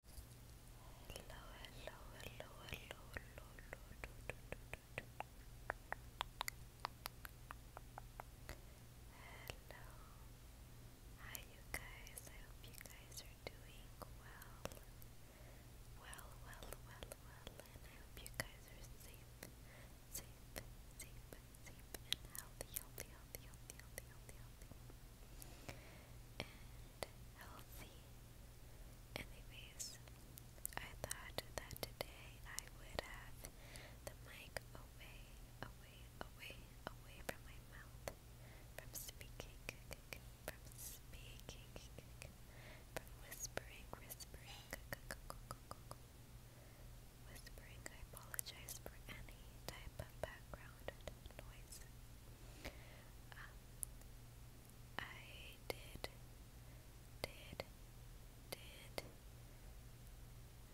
hello, hello, hello, hello, hello, hello. Hello. Hi you guys. I hope you guys are doing well. Well, well, well, well. And I hope you guys are safe. Safe, safe, safe and healthy, healthy, healthy, healthy, healthy, healthy, healthy. Anyways, I thought that today I would have the mic away, away, away, away from my mouth, from speaking, from speaking, from whispering, whispering, whispering. I apologize for any type of background noise. I did, did, did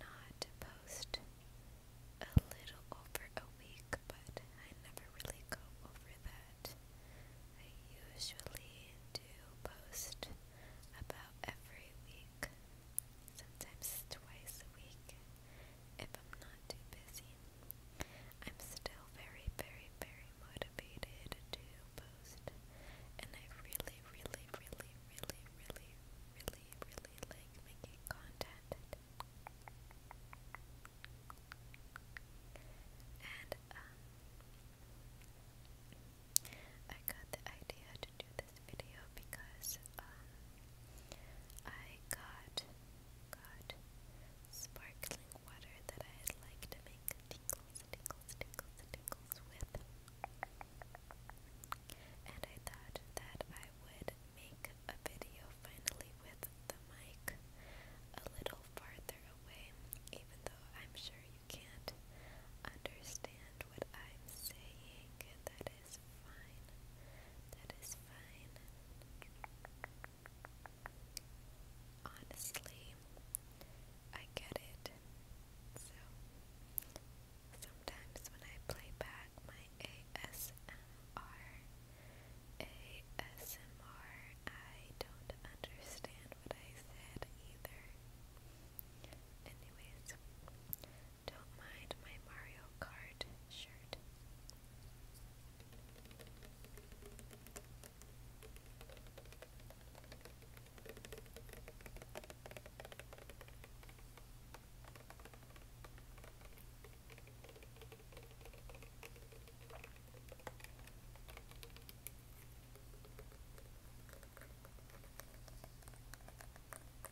not post a little over a week, but I never really go over that. I usually do post about every week, sometimes twice a week if I'm not too busy. I'm still very, very, very motivated to post, and I really, really, really, really, really, really, really like making content. And, um, I got the idea to do this video because um, I got got sparkling water that I like to make tingles, tingles, tingles, with. And I thought that I would make a video finally with the mic a little farther away, even though I'm sure you can't understand what I'm saying. That is is fine. That is fine. Honestly, I get it. So, sometimes when I play back my ASMR, ASMR, I don't understand what I said either. Anyways, don't mind my Mario Kart shirt.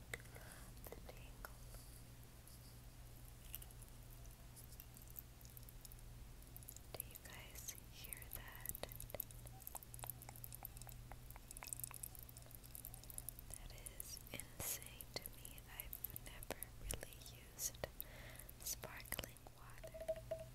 the Do you guys hear that? That is insane to me. I've never really used sparkling water.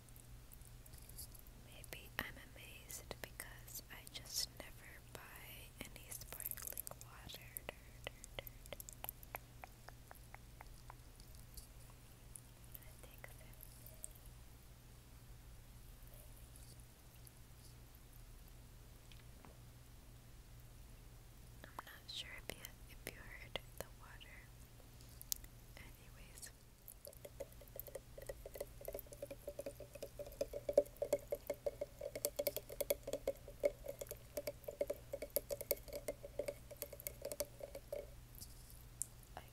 Maybe I'm amazed because I just never buy any sparkling water. I am not sure if you heard the water. Anyways. I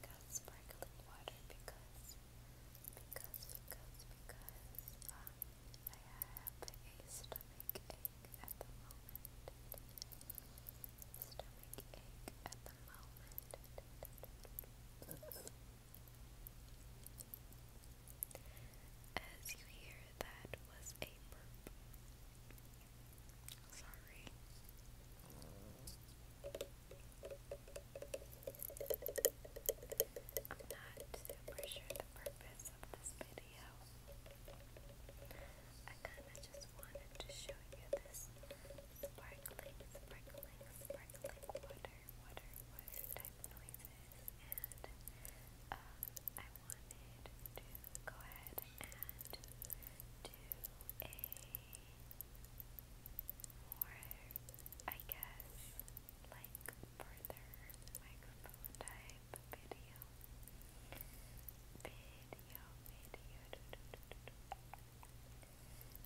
got sparkling water because, because, because, because um, I have a stomach ache at the moment. Stomach ache at the moment. As you hear, that was a Sorry. I'm not super sure the purpose of this video. I kinda just wanted to show you this sparkling, sparkling, sparkling water, water, water type noises, and I wanted to go ahead and do a more, I guess, like further microphone type video. Video, video,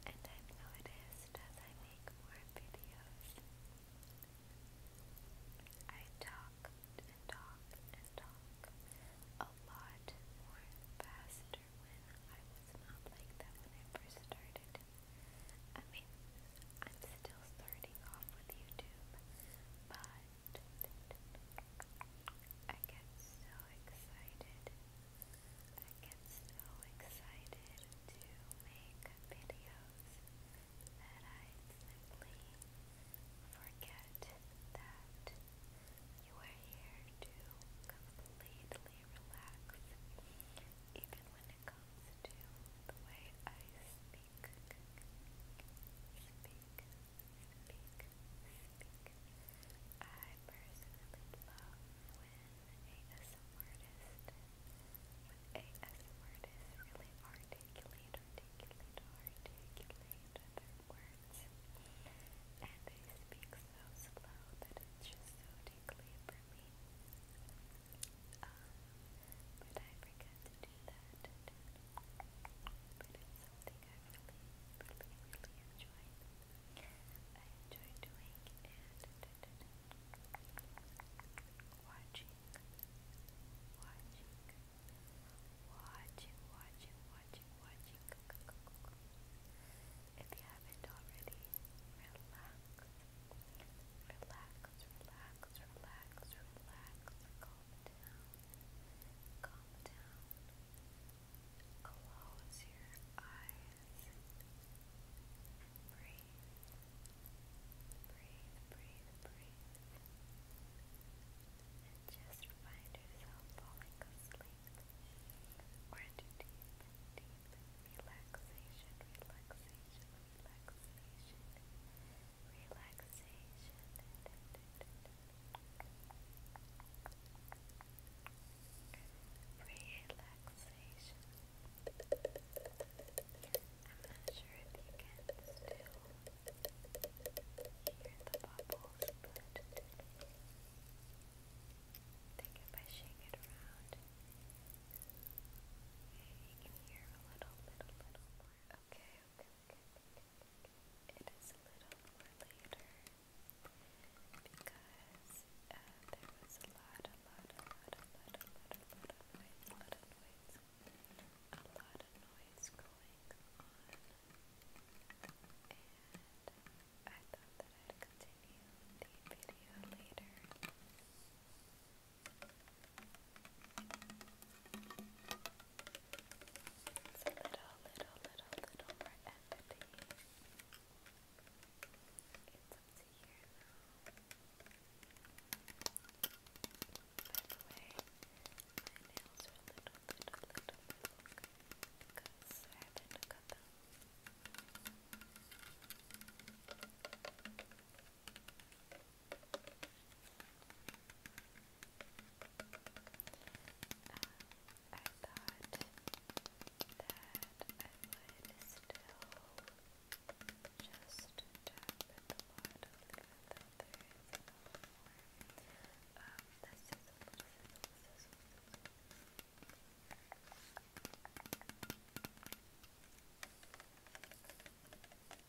and I've noticed as I make more videos, I talk and talk and talk a lot more faster when I was not like that when I first started. I mean, I'm still starting off with YouTube, but I get so excited. I get so excited to make videos that I simply forget that you are here to completely relax, even when it comes to the way I speak. I personally love when ASM artists, when ASM artists really articulate, articulate, articulate their words. And they speak so slow that it's just so deeply for me. but I forget to do that. But it's something really enjoyed. I enjoy doing and watching, watching, watching, watching, watching, watching. If you haven't already, relax, relax, relax, relax, relax, calm down. Calm down. Close your eyes. Breathe. Breathe, breathe, breathe. And just find yourself falling asleep or into deep, deep relaxation, relaxation, relaxation, relaxation. Relaxation. I'm not sure if you can still hear the bubbles, but I think if I shake it around, you can hear a little bit, little more. okay. It is a little later because uh, there was a lot, a lot, a lot, a lot, a lot, a lot of noise, a lot of noise, going on, and I thought that I'd continue the video later. It's a little, little, little, little more empathy. It's up to you now. By the way, my nails are a little, little, little, little because I haven't cut them. I thought that I would still just tap at the bottom even though there is a little more um, the sizzle, sizzle, sizzle, sizzle.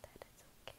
That is okay. okay.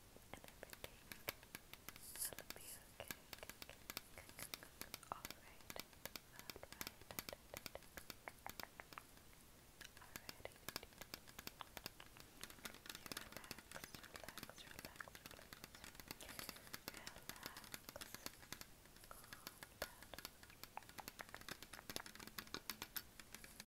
and everything. It'll be okay. All right. Alrighty. You relax, relax, relax, relax. Relax. Calm down.